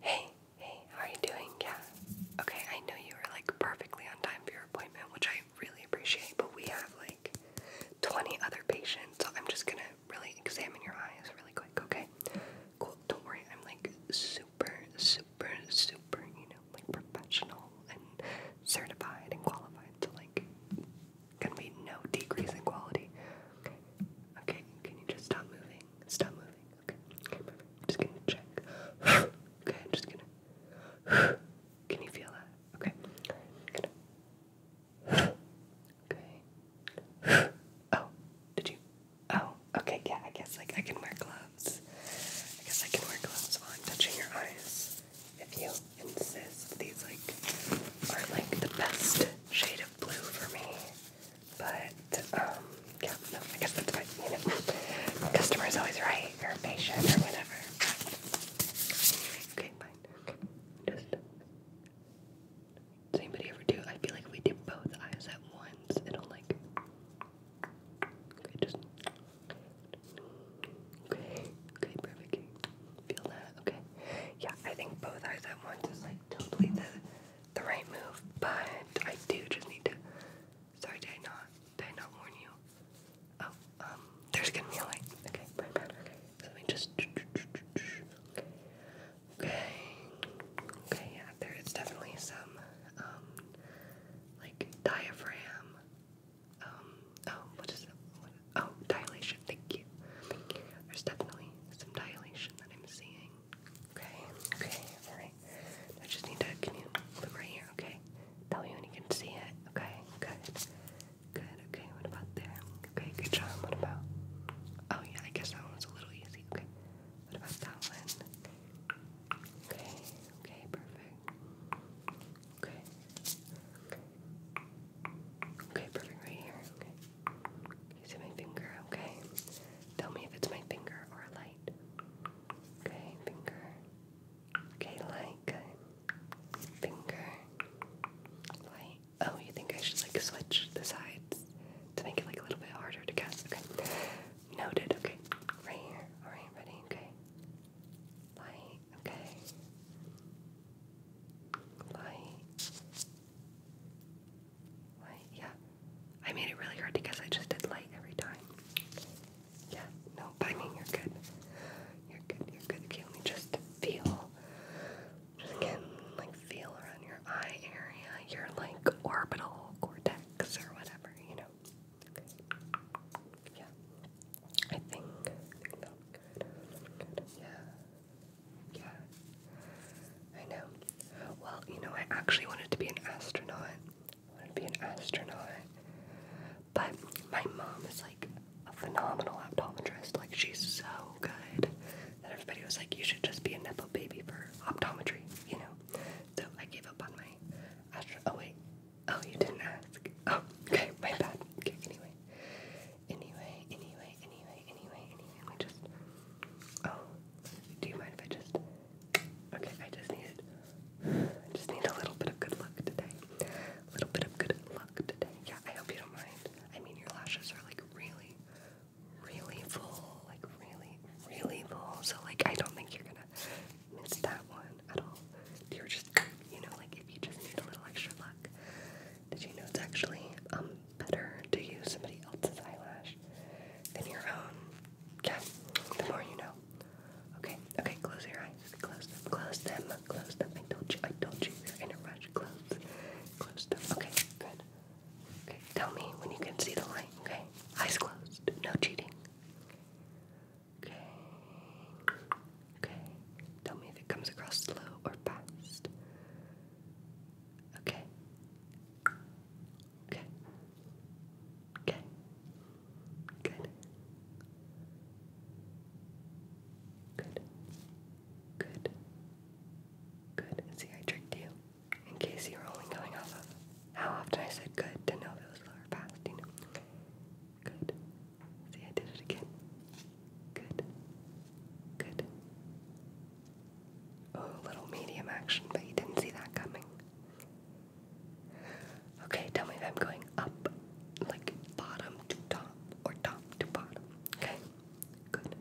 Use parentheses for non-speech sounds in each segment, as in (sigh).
Hey, hey, how are you doing? Yeah. Okay, I know you were like perfectly on time for your appointment, which I really appreciate, but we have like 20 other patients, so I'm just gonna really examine your eyes really quick, okay? Cool, don't worry, I'm like super, super, super, you know, like professional and certified and qualified, to like gonna be no decrease in quality. Okay, okay, can you just stop moving? Stop moving. Okay. i just gonna check. (sighs) okay, just gonna. (sighs) Can you feel that? Okay. (sighs) okay. oh, did you? Oh, okay. Yeah, I guess like I can wear gloves. I guess I can wear gloves while I'm touching your eyes. If you insist, these like are like the best shade of blue for me. But, um, yeah, I guess that's fine. You know, (laughs) customer is always right, or patient, or whatever. Okay, fine. Okay. Just, does anybody ever do? I feel like if we do both eyes at once, it'll like. Okay, just. Okay, okay, perfect. Feel that? Okay. Yeah, I think both eyes at once is like totally the the right move, but I do just need to. Sorry, did I not? Did I not warn you? Oh, um, there's gonna be a light. Okay, my Okay, so let just. Okay. Okay, yeah, there is definitely some, um, like diaphragm. Um, oh, what is it? oh, dilation. Thank you. There's definitely some dilation that I'm seeing. Okay, okay, alright. I just need to, look right here, okay? Tell me when you can see it, okay? Good, good, okay, what about there? Okay, good job, what about? Oh yeah, I guess that one a little easy, okay. What about that one? Okay, okay, perfect. Okay, okay, okay perfect right here, okay see my finger, okay? Tell me if it's my finger or a light. Okay, finger. Okay, light, Finger. Light. Oh, you think I should like switch the sides to make it like a little bit harder to guess? Okay. Noted, okay. Right here. Alright, ready? Okay. Light, okay. Light. Right? Yeah. I made it really hard because I just did light every time. Yeah. No, I mean, you're good. You're good. You're good. Okay, let just feel. Just again, like, feel around your eye area, your, like, orbital cortex or whatever, you know? Yeah. I think, Yeah. Yeah. I know. Well, you know, I actually wanted to be an astronaut. I wanted to be an astronaut. But my mom is like a phenomenal optometrist. Like, she's so good that everybody was like, you should just be a Nepo baby for optometry, you know? So I gave up on my astro. Oh, wait. Oh, you didn't ask. Oh, okay. My bad. Okay, anyway. Anyway, anyway, anyway, anyway, anyway. Let me just. Oh, do you mind if I just... Okay, I just need... I just need a little bit of good luck today. A little bit of good luck today. Yeah, I hope you don't mind. I mean, your lashes are like really, really full. Like really, really full. So like, I don't think you're gonna miss that one at all. You're just, you know, like if you just need a little extra luck. Did you know it's actually um better to use somebody else's eyelash than your own? Yeah, the more you know. Okay, okay, close your eyes. Close them, close them, close them. I told you, I told you, you're in a rush. Close, close them. Okay, good. Okay, tell me when you can see the light, okay? Eyes closed, no cheating. Okay, okay. Tell me if it comes across slow or fast. Okay, Okay. Okay. Good. Good. Good. Good. See, I tricked you. In case you were only going off of how often I said good to know if it was lower or Good. See, I did it again. Good. Good. Oh, little medium action, but you didn't see that coming. Okay, tell me if I'm going up, like bottom to top, or top to bottom. Okay, good.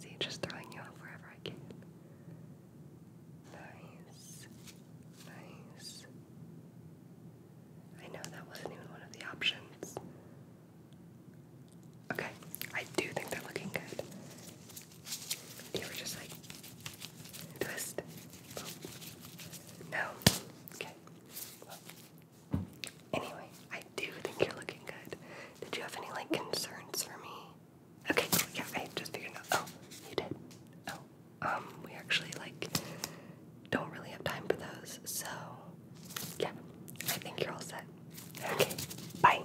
See, just throwing you off wherever I can. Nice, nice. I know that wasn't even one of the options. Okay, I do think they're looking good. You were just like, twist. No. Okay. Anyway, I do think you're looking good. Did you have any, like, concerns for me? Okay, cool. Yeah, I just figured out. Oh, you did. Oh. Um, we actually, like, don't really have time for those, so yeah, I think you're all set. Okay, bye.